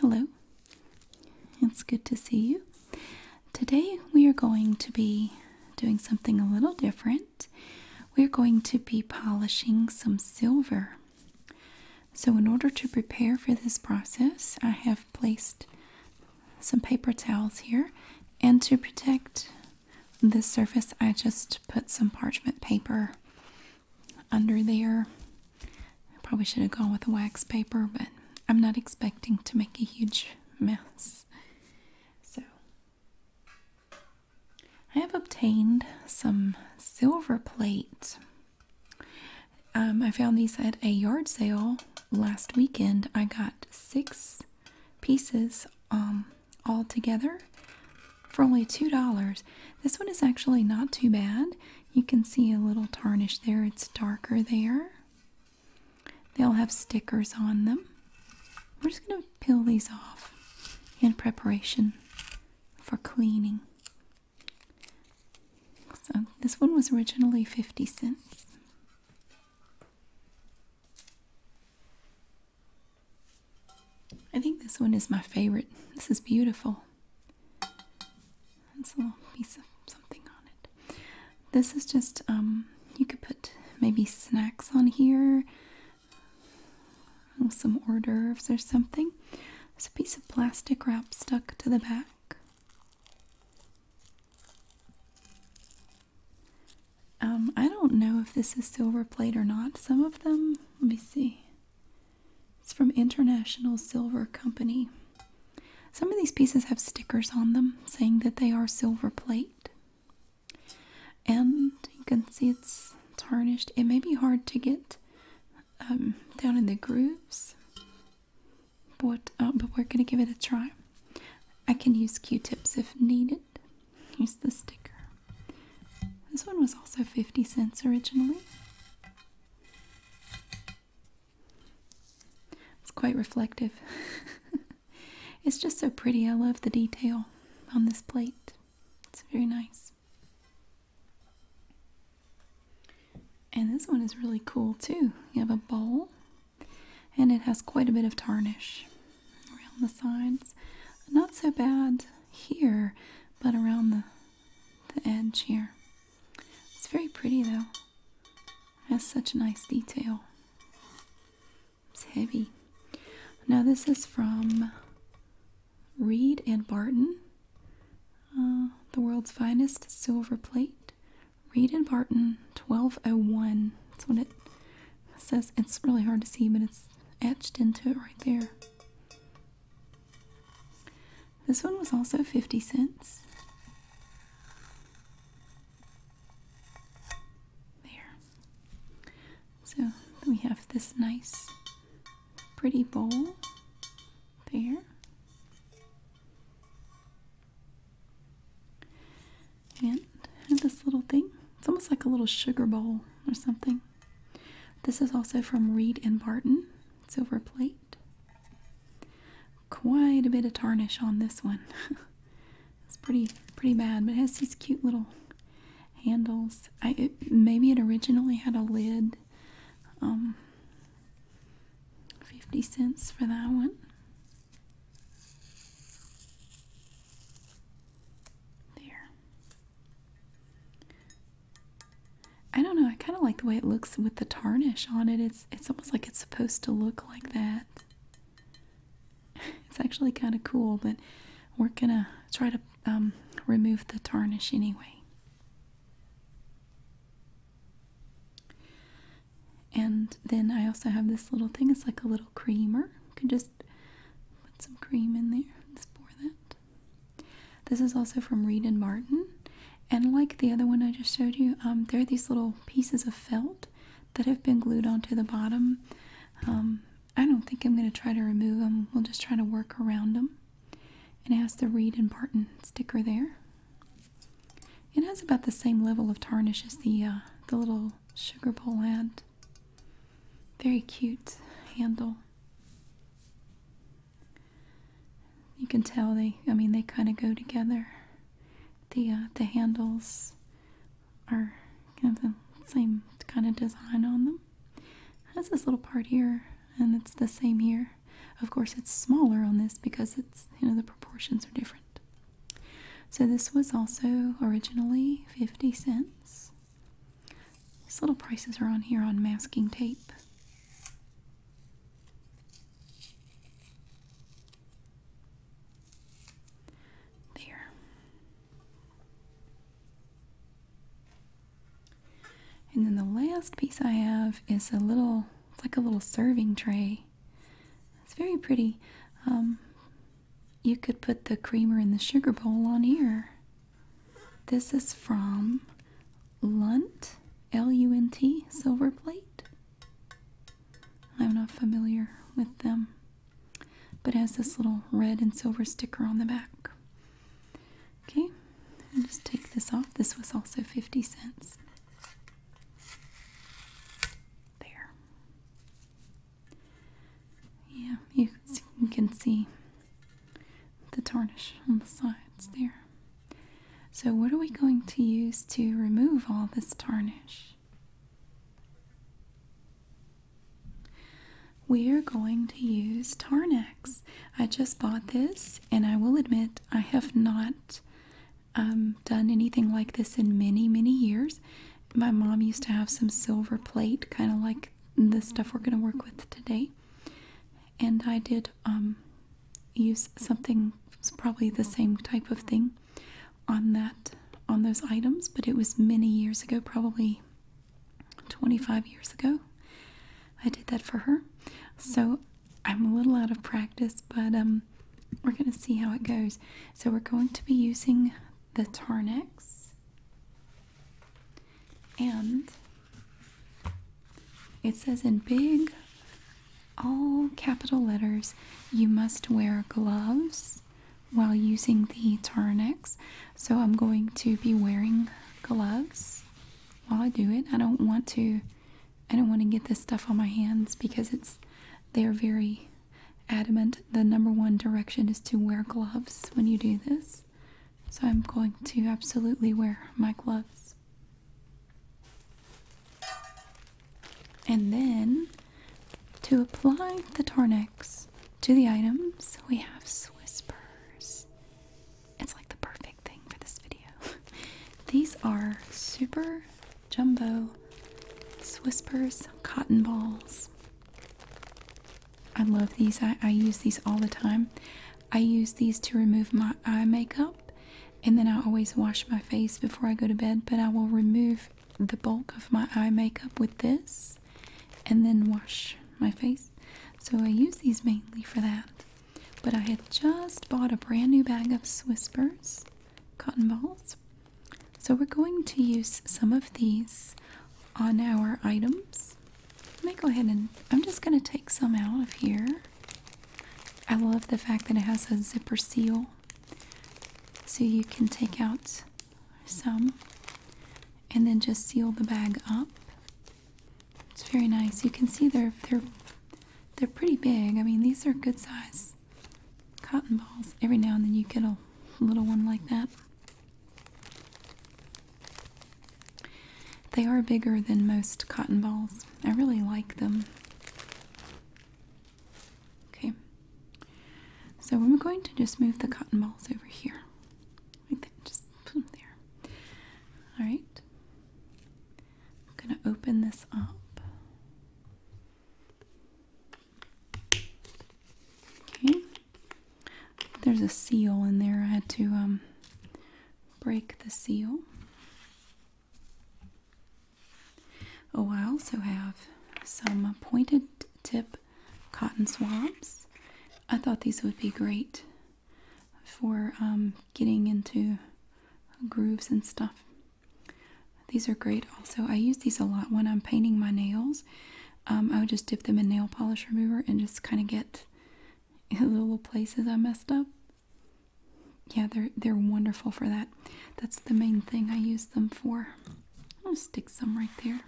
Hello, it's good to see you. Today we are going to be doing something a little different. We're going to be polishing some silver. So, in order to prepare for this process, I have placed some paper towels here, and to protect this surface, I just put some parchment paper under there. I probably should have gone with wax paper, but I'm not expecting to make a huge mess. So, I have obtained some silver plate. Um, I found these at a yard sale last weekend. I got six pieces um, all together for only $2. This one is actually not too bad. You can see a little tarnish there. It's darker there. They'll have stickers on them. We're just going to peel these off in preparation for cleaning. So this one was originally 50 cents. I think this one is my favorite. This is beautiful. It's a piece of something on it. This is just, um, you could put maybe snacks on here, some hors d'oeuvres or something. There's a piece of plastic wrap stuck to the back. Um, I don't know if this is silver plate or not. Some of them, let me see. It's from International Silver Company. Some of these pieces have stickers on them saying that they are silver plate. And you can see it's tarnished. It may be hard to get um, down in the grooves, but, uh, but we're going to give it a try. I can use Q-tips if needed. Here's the sticker. This one was also 50 cents originally. It's quite reflective. it's just so pretty. I love the detail on this plate. It's very nice. And this one is really cool too. You have a bowl and it has quite a bit of tarnish around the sides. Not so bad here, but around the, the edge here. It's very pretty though. It has such nice detail. It's heavy. Now this is from Reed and Barton. Uh, the world's finest silver plate. Reed and Barton 1201. That's what it says. It's really hard to see, but it's etched into it right there. This one was also 50 cents. There. So we have this nice, pretty bowl there. And this little thing. It's almost like a little sugar bowl or something. This is also from Reed and Barton, silver plate. Quite a bit of tarnish on this one. it's pretty pretty bad, but it has these cute little handles. maybe it originally had a lid. Um, 50 cents for that one. There. I don't know, I kind of like the way it looks with the tarnish on it. It's it's almost like it's supposed to look like that. It's actually kind of cool, but we're gonna try to um, remove the tarnish anyway. And then I also have this little thing. It's like a little creamer. You can just put some cream in there and pour that. This is also from Reed and Martin. And like the other one I just showed you, um, there are these little pieces of felt that have been glued onto the bottom. Um, I don't think I'm going to try to remove them. We'll just try to work around them. And it has the Reed and Barton sticker there. It has about the same level of tarnish as the uh, the little sugar bowl had. Very cute handle. You can tell they, I mean, they kind of go together. The uh, the handles are kind of the same kind of design on them. has this little part here, and it's the same here. Of course, it's smaller on this because it's you know the proportions are different. So this was also originally 50 cents. These little prices are on here on masking tape. There. And then the last piece I have is a little, it's like a little serving tray. It's very pretty. Um, you could put the creamer in the sugar bowl on here. This is from Lunt, L U N T, Silver Plate. I'm not familiar with them, but has this little red and silver sticker on the back. Okay, I'll just take this off. This was also 50 cents. There. Yeah, you can, see, the tarnish on the sides there. So, what are we going to use to remove all this tarnish? We are going to use Tarnex. I just bought this, and I will admit I have not um, done anything like this in many, many years. My mom used to have some silver plate, kind of like the stuff we're going to work with today. And I did um, use something, probably the same type of thing on that, on those items, but it was many years ago, probably 25 years ago. I did that for her. So I'm a little out of practice, but um, we're going to see how it goes. So we're going to be using the Tarnex, and it says in big, all capital letters, you must wear gloves while using the Tarnex. So I'm going to be wearing gloves while I do it. I don't want to I don't want to get this stuff on my hands because it's they're very adamant. The number one direction is to wear gloves when you do this. So I'm going to absolutely wear my gloves. And then to apply the Tornex to the items, we have Swiss Purrs. It's like the perfect thing for this video. These are super jumbo Swiss Purrs cotton balls. I love these. I, use these all the time. I use these to remove my eye makeup and then I always wash my face before I go to bed, but I will remove the bulk of my eye makeup with this and then wash my face. So I use these mainly for that. But I had just bought a brand new bag of Swispers cotton balls. So we're going to use some of these on our items. Let me go ahead and I'm just going to take some out of here. I love the fact that it has a zipper seal so you can take out some and then just seal the bag up. It's very nice. You can see they're they're they're pretty big. I mean, these are good size cotton balls. Every now and then you get a little one like that. They are bigger than most cotton balls. I really like them. Okay, so I'm going to just move the cotton balls over here. just put them there. Alright, I'm going to open this up. Okay, there's a seal in there. I had to um, break the seal. Oh, I also have some pointed tip cotton swabs. I thought these would be great for um, getting into grooves and stuff. These are great also. I use these a lot when I'm painting my nails um, I would just dip them in nail polish remover and just kind of get the little places I messed up. Yeah, they're they're wonderful for that. That's the main thing I use them for. I'll stick some right there.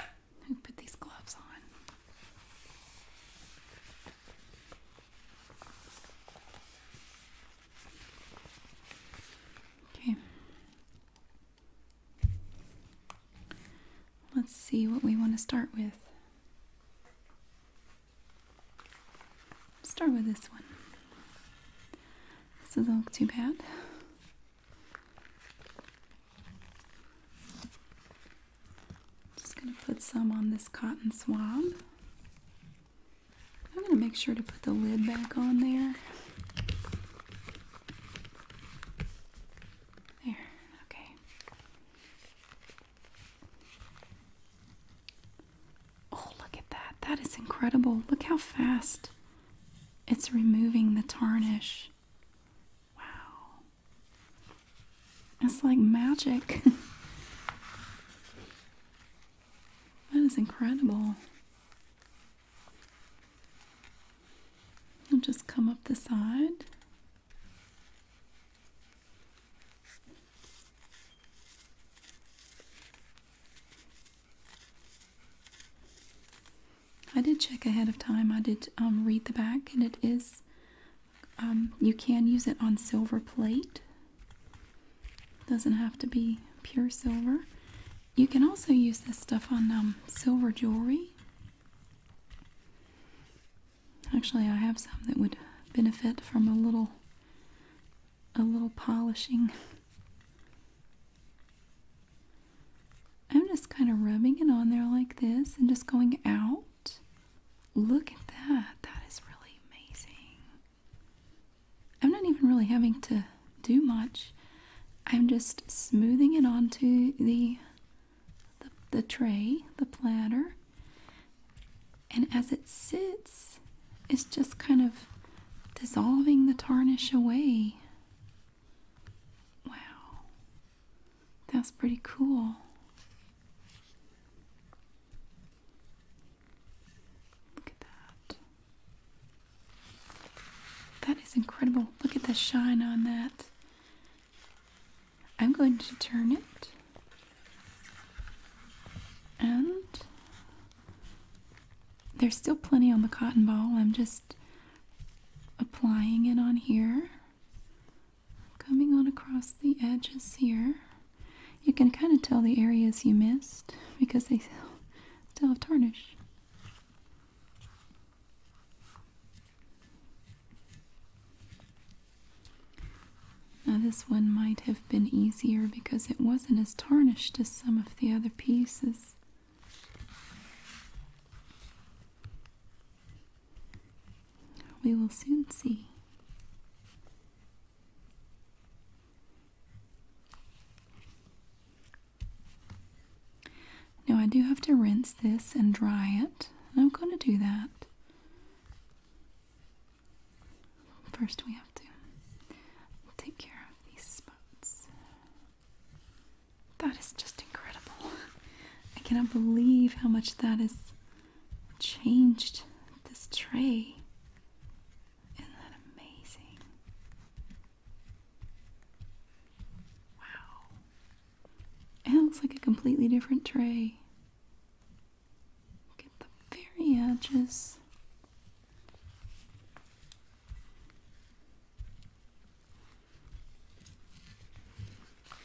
i put these gloves on. Okay. Let's see what we want to start with. Start with this one. This doesn't look too bad. Just gonna put some on this cotton swab. I'm gonna make sure to put the lid back on there. There, okay. Oh, look at that. That is incredible. Look how fast it's removing the tarnish. Wow. It's like magic. that is incredible. And just come up the side. I did check ahead of time. I did um, read the back, and it is, um, you can use it on silver plate. Doesn't have to be pure silver. You can also use this stuff on um, silver jewelry. Actually, I have some that would benefit from a little a little polishing. I'm just kind of rubbing it on there like this and just going out. Look at that. That is really amazing. I'm not even really having to do much. I'm just smoothing it onto the, the tray, the platter. And as it sits, it's just kind of dissolving the tarnish away. Wow. That's pretty cool. Look at that. That is incredible. Look at the shine on that. I'm going to turn it. And there's still plenty on the cotton ball. I'm just applying it on here. Coming on across the edges here. You can kind of tell the areas you missed because they still have tarnish. Now, this one might have been easier because it wasn't as tarnished as some of the other pieces. We will soon see. Now I do have to rinse this and dry it. And I'm going to do that. First we have to take care of these spots. That is just incredible. I cannot believe how much that has changed this tray. Isn't that amazing? Wow. It looks like a completely different tray. Get the very edges.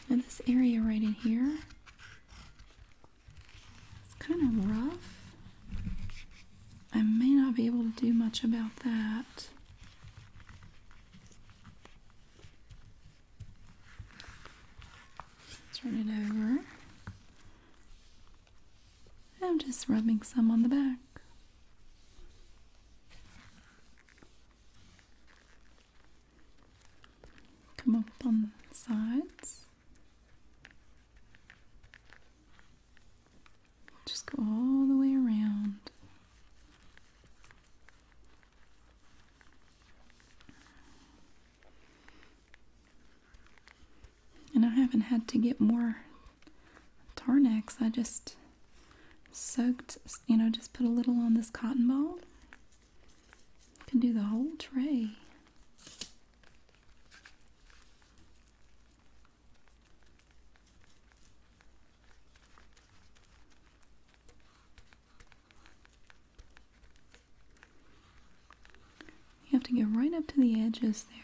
And this area right in here it's kind of rough. I may not be able to do much about that. Turn it over. I'm just rubbing some on the back. Come up on the sides. Just go all the way around. And I haven't had to get more Tarnex. I just soaked, you know, just put a little on this cotton ball. Can do the whole tray. You have to get right up to the edges there.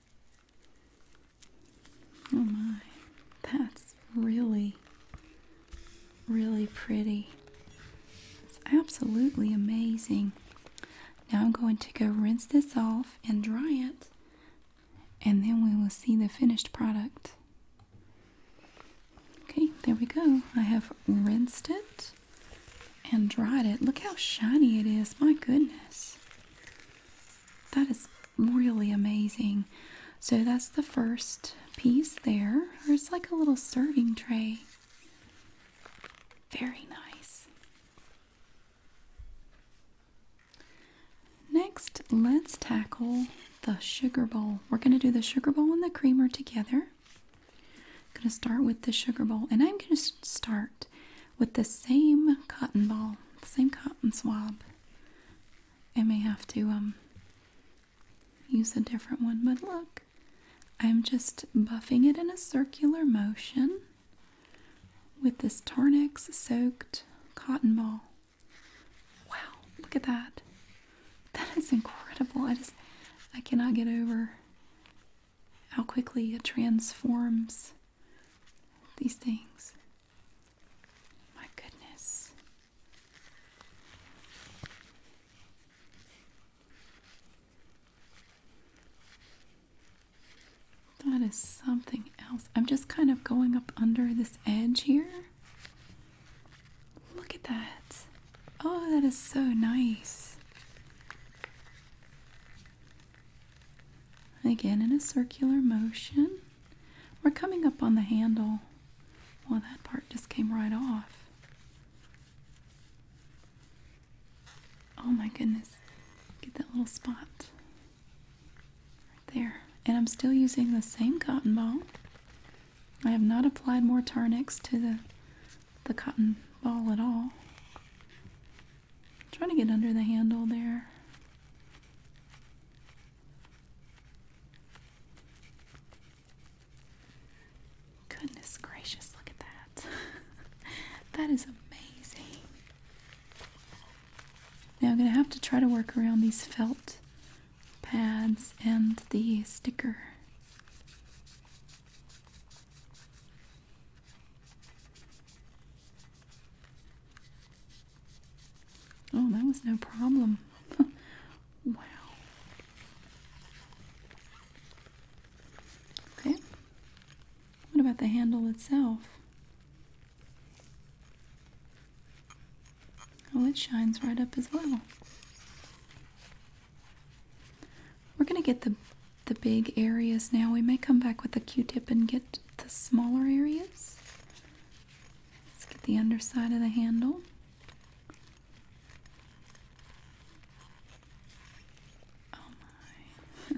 Oh my, that's really, really pretty. It's absolutely amazing. Now I'm going to go rinse this off and dry it, and then we will see the finished product. Okay, there we go. I have rinsed it and dried it. Look how shiny it is. My goodness that is really amazing. So that's the first piece there. Or it's like a little serving tray. Very nice. Next, let's tackle the sugar bowl. We're going to do the sugar bowl and the creamer together. I'm going to start with the sugar bowl and I'm going to start with the same cotton ball, same cotton swab. I may have to um, use a different one, but look, I'm just buffing it in a circular motion with this Tarnex soaked cotton ball. Wow, look at that. That is incredible. I just I cannot get over how quickly it transforms these things. My goodness. That is something else. I'm just kind of going up under this edge here. Look at that. Oh, that is so nice. Again, in a circular motion. We're coming up on the handle. Well, that part just came right off. Oh my goodness. Get that little spot right there. And I'm still using the same cotton ball. I have not applied more Tarnix to the, the cotton ball at all. I'm trying to get under the handle there. Goodness gracious, look at that. that is amazing. Now I'm going to have to try to work around these felt pads and the sticker. Oh, that was no problem. wow. Okay. What about the handle itself? Oh, it shines right up as well. We're going to get the the big areas now. We may come back with a Q-tip and get the smaller areas. Let's get the underside of the handle. Oh my.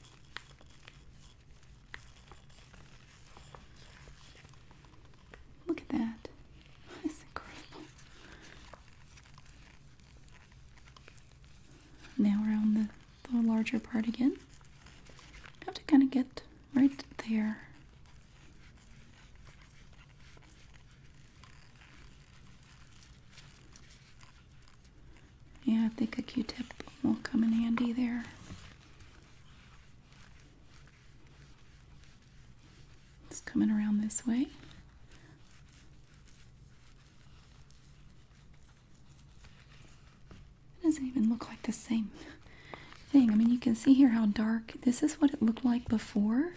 Look at that. That's incredible. Now we're on the, larger part again. You have to kind of get right there. Yeah, I think a Q-tip will come in handy there. It's coming around this way. It doesn't even look like the same thing. I mean, you can see here how dark. This is what it looked like before,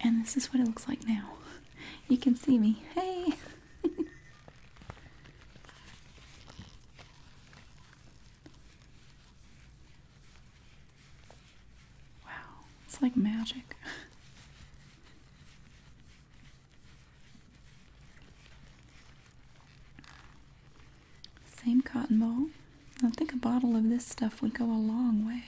and this is what it looks like now. You can see me. Hey! Wow, it's like magic. Same cotton ball. I think a bottle of this stuff would go a long way.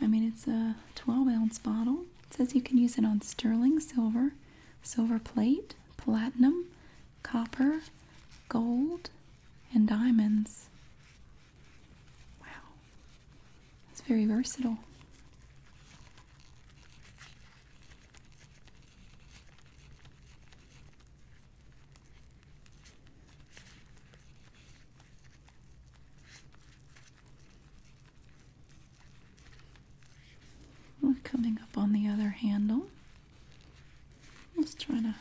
I mean, it's a 12 ounce bottle. It says you can use it on sterling silver, silver plate, platinum, copper, gold, and diamonds. Wow, it's very versatile. We're coming up on the other handle. I'm just trying to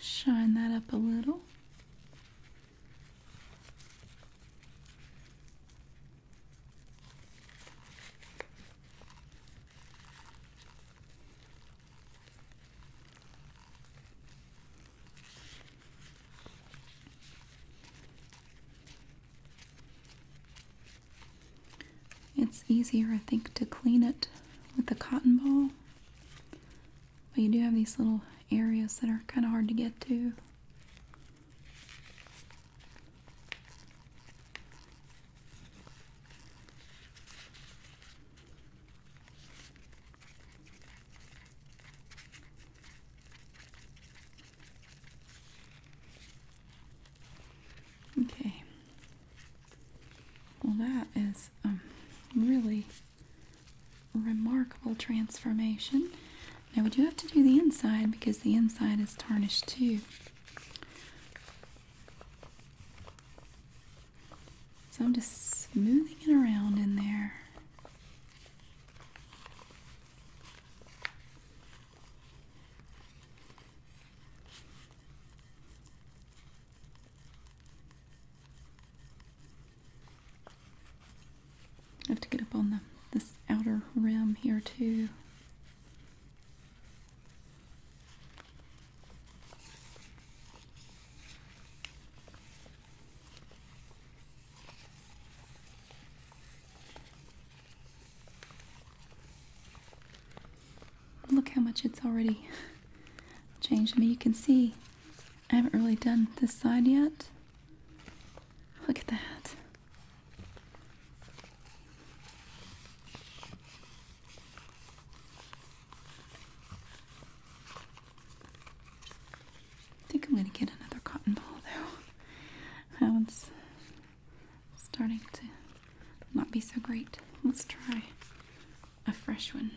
shine that up a little. It's easier, I think, to clean it with the cotton ball. But you do have these little areas that are kind of hard to get to. Okay. Well, that is a really remarkable transformation. Now we do have to do the inside because the inside is tarnished too. So I'm just smoothing it around in there. I have to get up on the this outer rim here too. Look how much it's already changed me. You can see I haven't really done this side yet. Look at that. I think I'm going to get another cotton ball though. That one's starting to not be so great. Let's try a fresh one.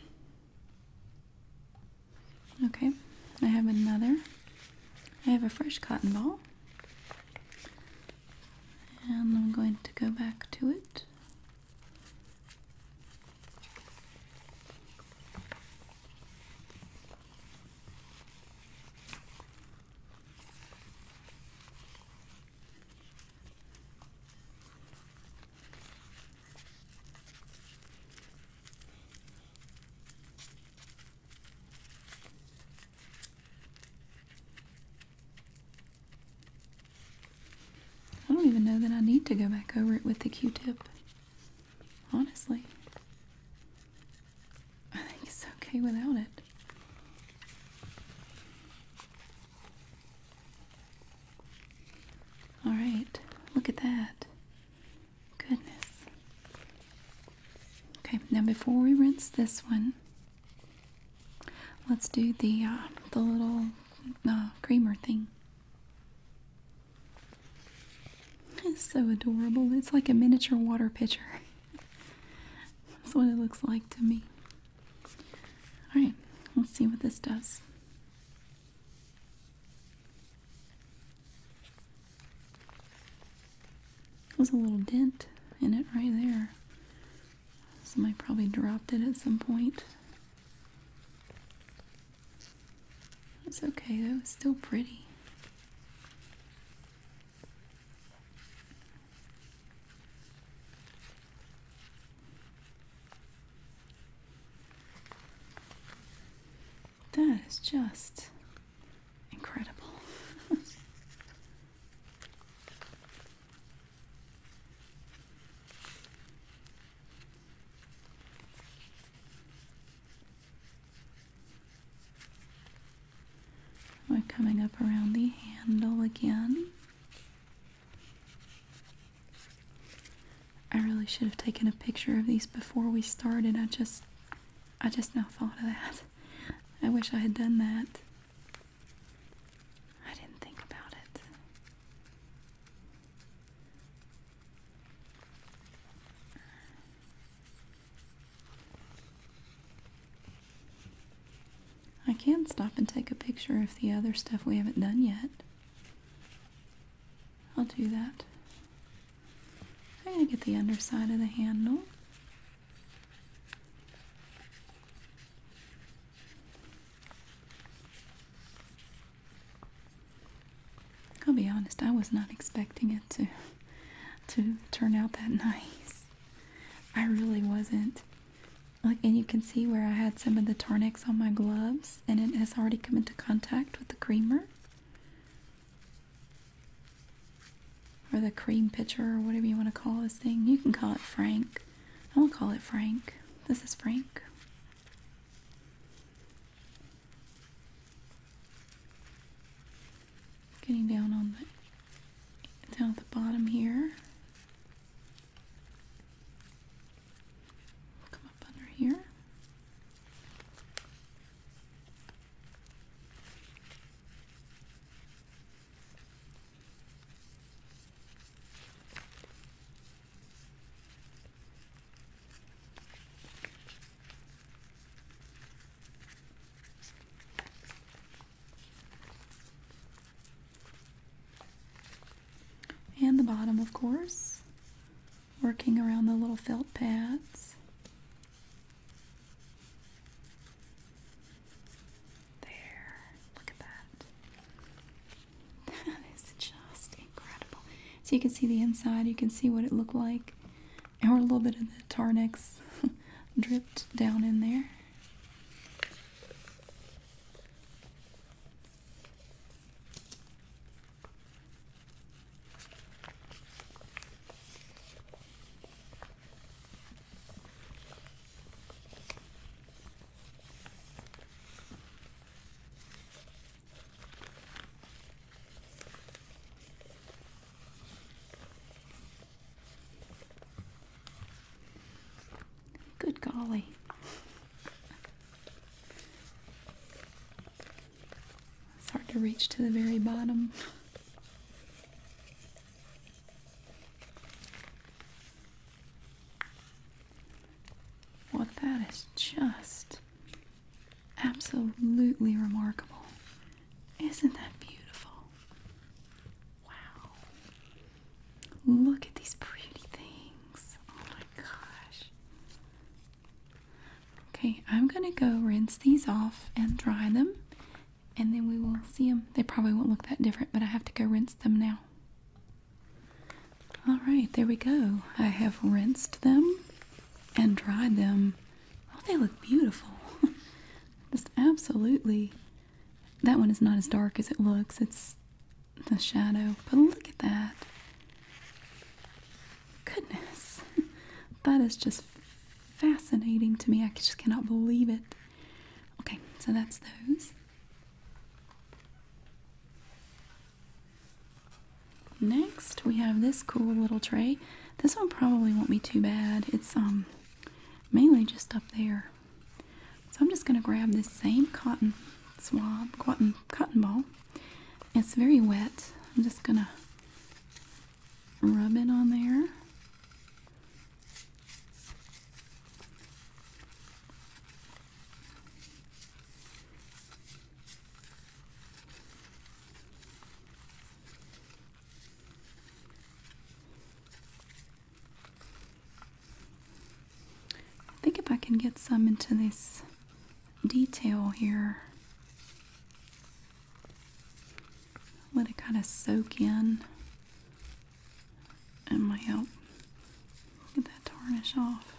Okay, I have another. I have a fresh cotton ball. And I'm going to go back to it. I don't even know that I need to go back over it with the Q-tip. Honestly. I think it's okay without it. All right, look at that. Goodness. Okay, now before we rinse this one, let's do the uh, the little uh, creamer thing. It's so adorable. It's like a miniature water pitcher. That's what it looks like to me. Alright, let's see what this does. There's a little dent in it right there. Somebody probably dropped it at some point. It's okay That was still pretty. That is just incredible. We're coming up around the handle again. I really should have taken a picture of these before we started. I just I just now thought of that. I wish I had done that. I didn't think about it. I can stop and take a picture of the other stuff we haven't done yet. I'll do that. I'm going to get the underside of the handle. I'll be honest, I was not expecting it to to turn out that nice. I really wasn't. Like, and you can see where I had some of the Tarnex on my gloves, and it has already come into contact with the creamer or the cream pitcher, or whatever you want to call this thing. You can call it Frank. I will call it Frank. This is Frank. Getting down on the down at the bottom here. Come up under here. And the bottom, of course, working around the little felt pads. There, look at that. That is just incredible. So you can see the inside, you can see what it looked like and a little bit of the Tarnex dripped down in there. Good golly. It's hard to reach to the very bottom. Well, that is just absolutely remarkable. Isn't that beautiful? Wow. Look at these pretty things. Oh my gosh. Okay, I'm going to go rinse these off and dry them, and then we will see them. They probably won't look that different, but I have to go rinse them now. All right, there we go. I have rinsed them and dried them Oh, they look beautiful. Just absolutely. That one is not as dark as it looks. It's the shadow. But look at that. Goodness. That is just fascinating to me. I just cannot believe it. Okay, so that's those. Next, we have this cool little tray. This one probably won't be too bad. It's um mainly just up there. So I'm just going to grab this same cotton swab, cotton, cotton ball. It's very wet. I'm just going to rub it on there. I think if I can get some into this detail here, let it kind of soak in and might help get that tarnish off.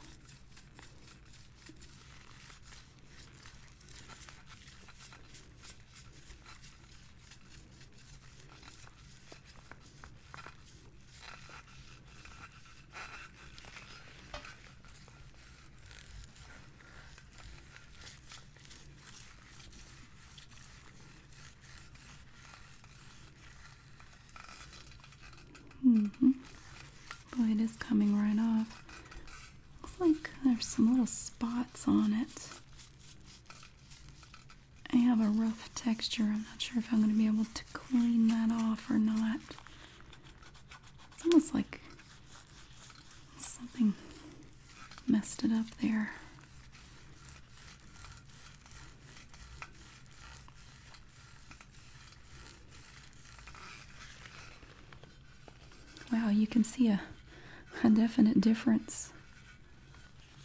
Mm hmm. Boy, it is coming right off. Looks like there's some little spots on it. I have a rough texture. I'm not sure if I'm going to be able to clean that off or not. It's almost like something messed it up there. Wow, you can see a, a definite difference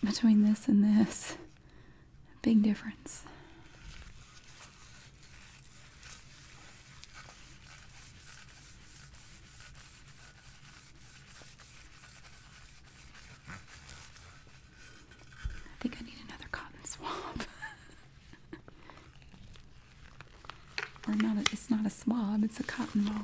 between this and this. Big difference. I think I need another cotton swab. or not it's not a swab, it's a cotton ball.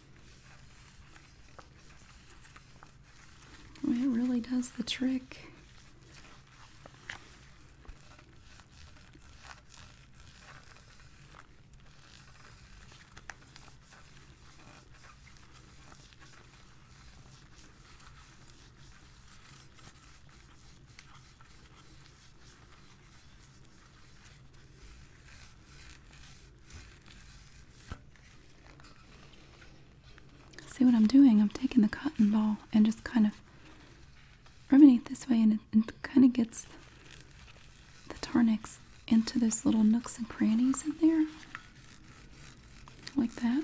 it really does the trick. See what I'm doing? I'm taking the cotton ball and just kind of rubbing it this way, and it, kind of gets the Tarnix into those little nooks and crannies in there. Like that.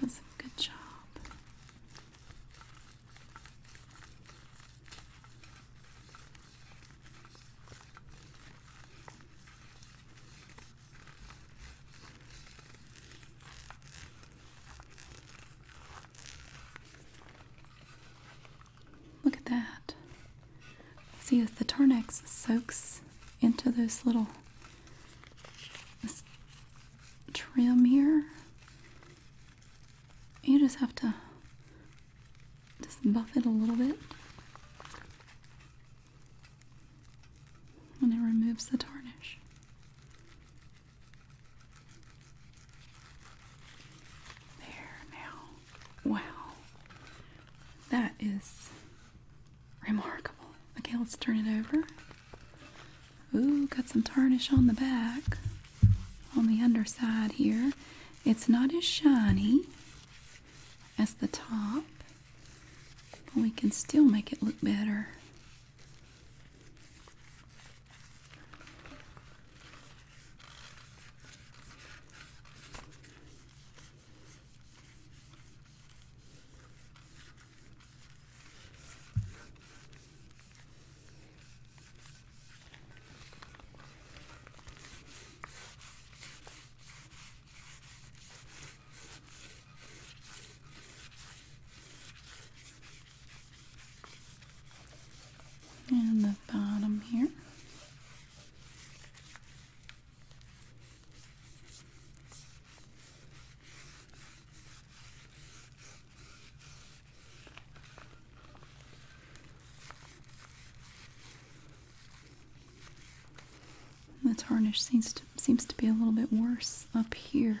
That's a good job. Look at that. See, as the Tarnex soaks into those little trim here, you just have to just buff it a little bit and it removes the tarnish. There now. Wow. That is remarkable. Okay, let's turn it over. Ooh, got some tarnish on the back, on the underside here. It's not as shiny as the top. But we can still make it look better. And the bottom here. The tarnish seems to, seems to be a little bit worse up here.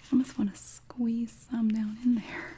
I almost want to squeeze some down in there.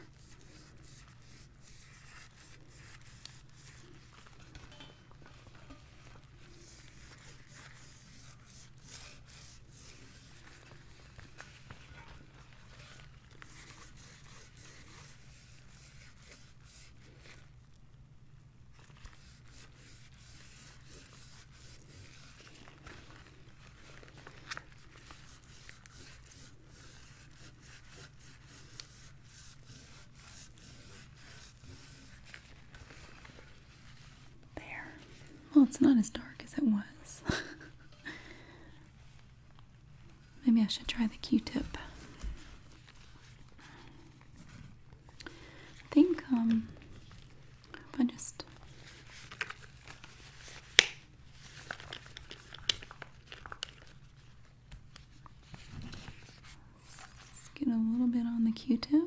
There. Well, it's not as dark as it was. Maybe I should try the Q-tip. I think um, if I just get a little bit on the Q-tip.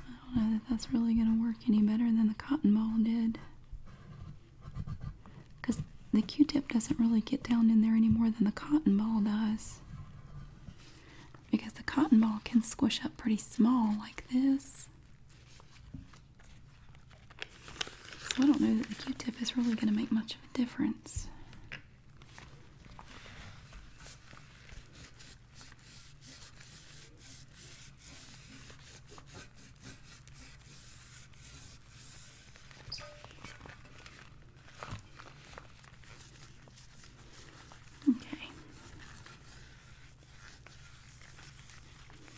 I don't know that that's really going to work any better than the cotton ball did. Because the Q-tip doesn't really get down in there any more than the cotton ball does. Because the cotton ball can squish up pretty small like this. So I don't know that the Q-tip is really going to make much of a difference. Okay.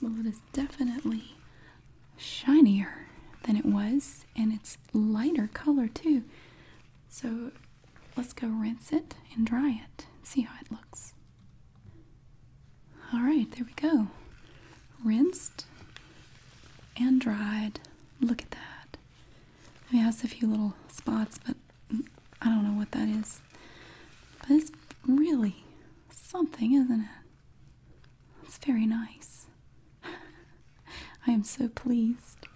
Well, it is definitely shinier than it was, and it's lighter color too. So let's go rinse it and dry it, see how it looks. All right, there we go. Rinsed and dried. Look at that. it has a few little spots, but I don't know what that is. But it's really something, isn't it? It's very nice. I am so pleased.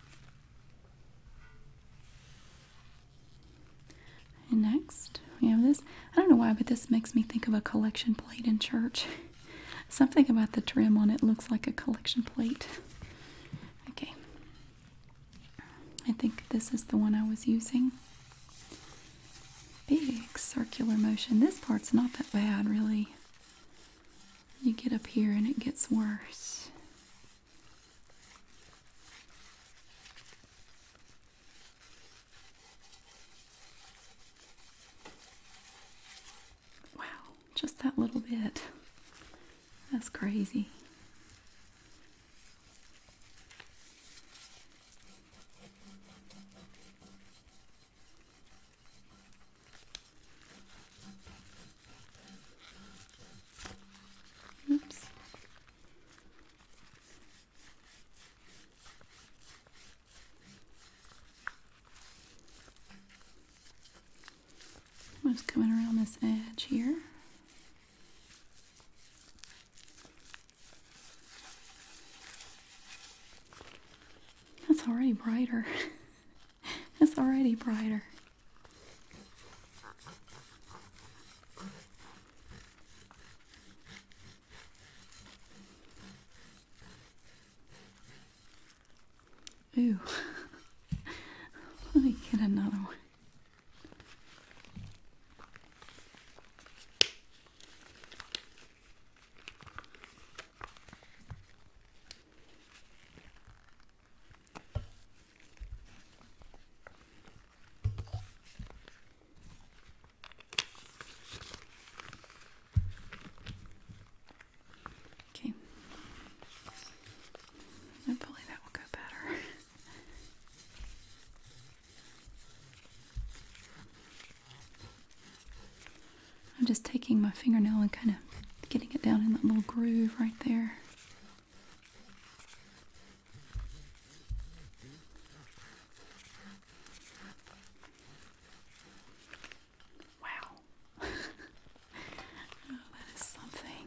And next, first. We this. I don't know why, but this makes me think of a collection plate in church. Something about the trim on it looks like a collection plate. Okay. I think this is the one I was using. Big circular motion. This part's not that bad, really. You get up here and it gets worse. Wow, just that little bit. That's crazy. Oops. I'm just coming around this edge here. That's already brighter. That's already brighter. Ooh. Let me get another one. Okay. Hopefully that will go better. I'm just taking my fingernail and kind of getting it down in that little groove right there. Wow. oh, that is something.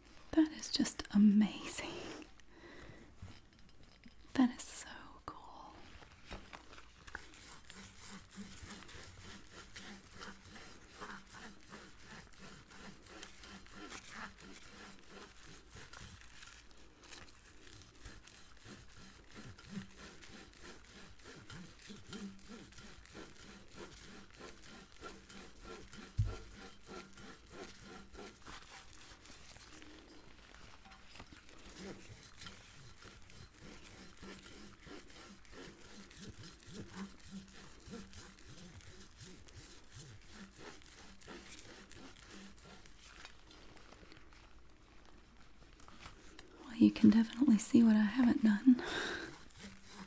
That is just amazing. That is so cool. Well, you can definitely see what I haven't done.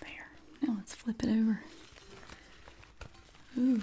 There. Now let's flip it over. Ooh.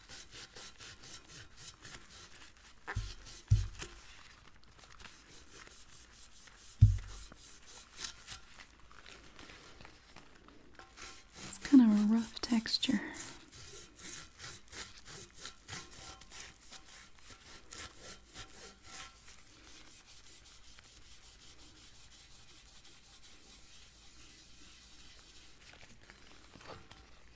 It's kind of a rough texture.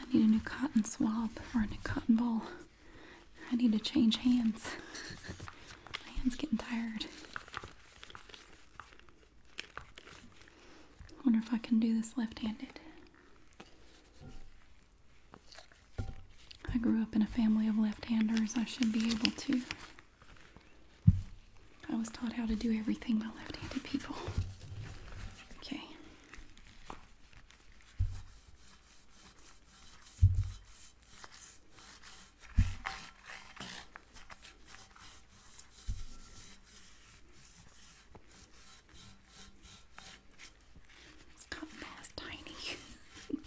I need a new cotton swab or a new cotton ball. I need to change hands. My hand's getting tired. wonder if I can do this left-handed. I grew up in a family of left-handers. I should be able to. I was taught how to do everything by left-handed people. Okay. This cotton ball is tiny.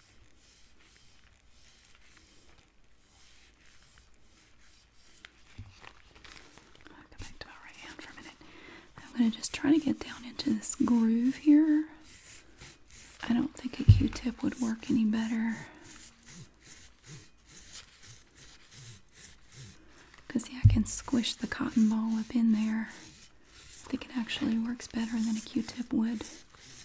I'll go back to my right hand for a minute. I'm going to just try to get down into this groove here. I don't think a Q-tip would work any better. Because, yeah, I can squish the cotton ball up in there. I think it actually works better than a Q-tip would.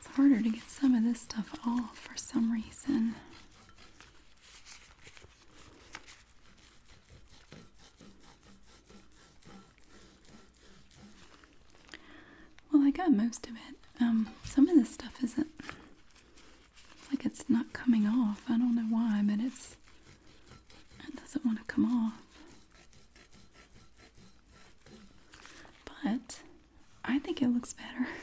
It's harder to get some of this stuff off for some reason. Well, I got most of it. Um, some of this stuff isn't. like it's not coming off. I don't know why, but it's. It doesn't want to come off. But I think it looks better.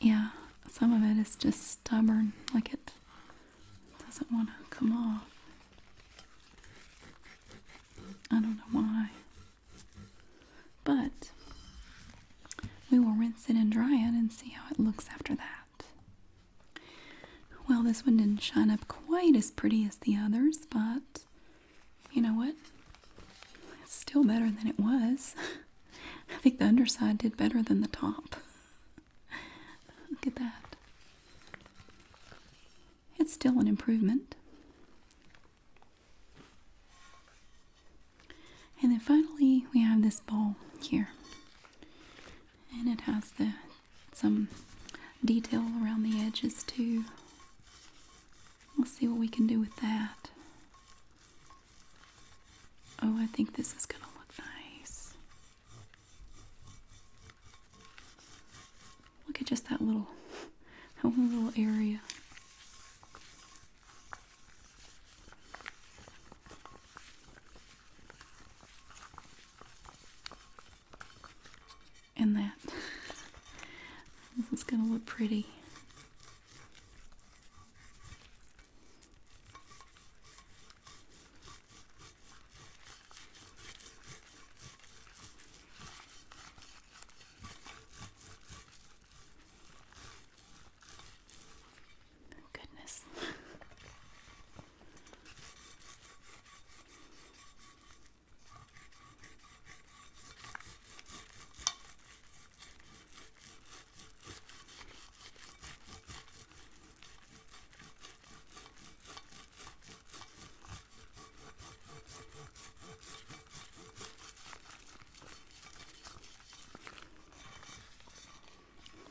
yeah, some of it is just stubborn, like it doesn't want to come off. I don't know why. But we will rinse it and dry it and see how it looks after that. Well, this one didn't shine up quite as pretty as the others, but you know what? It's still better than it was. I think the underside did better than the top. Look at that. It's still an improvement. And then finally, we have this ball here. And it has the some detail around the edges too. Let's see what we can do with that. Oh, I think this is going to look nice. Look at just that little, that little area. And that. this is going to look pretty. Goodness.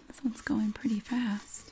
This one's going pretty fast.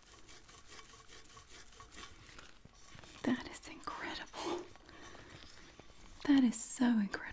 That is incredible. That is so incredible.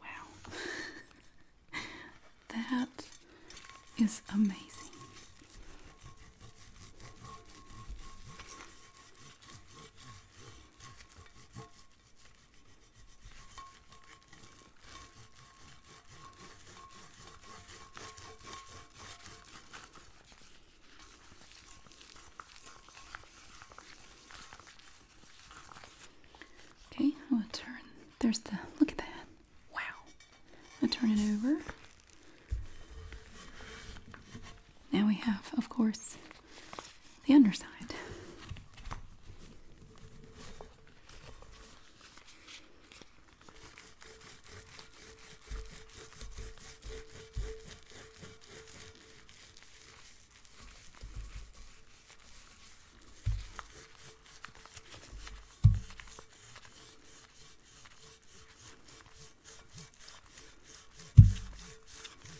Wow, that is amazing. Okay, I'll turn. There's the look at that. Wow. I turn it over. Now we have, of course, the underside.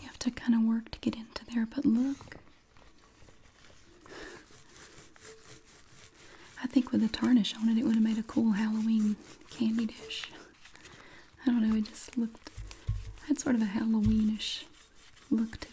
You have to kind of work to get into there, but look. I think with the tarnish on it, it would have made a cool Halloween candy dish. I don't know, it just looked, had sort of a Halloweenish look to it.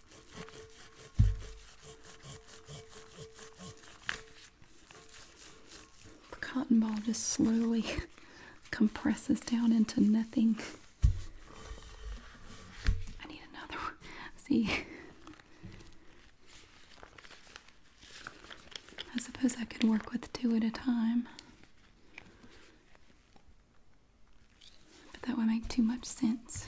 The cotton ball just slowly compresses down into nothing. I need another one. See, I suppose I could work with two at a time. But that would not make too much sense.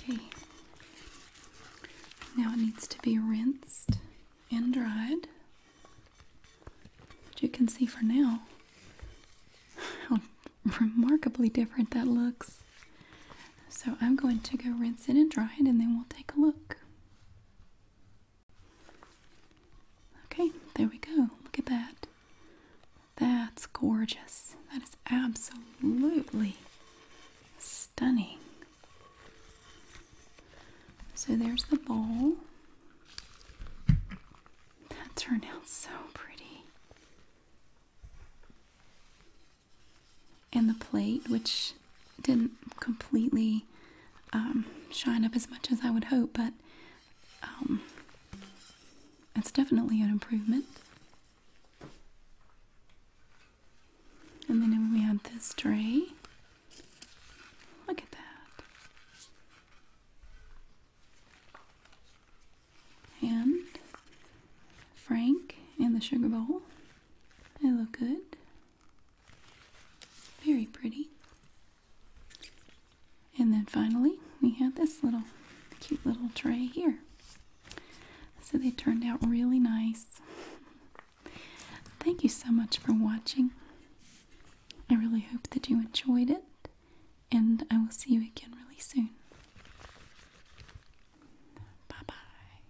Okay, now it needs to be rinsed and dried. But you can see for now how remarkably different that looks. So I'm going to go rinse it and dry it, and then we'll take a look. Okay, there we go. Look at that. That's gorgeous. That is absolutely stunning. So there's the bowl. That turned out so pretty and the plate, which didn't completely um, shine up as much as I would hope, but um, it's definitely an improvement. And then we have this tray. Look at that. And Frank and the sugar bowl. They look good. Very pretty. And then finally, we have this little cute little tray here. So they turned out really nice. Thank you so much for watching. I really hope that you enjoyed it, and I will see you again really soon. Bye bye.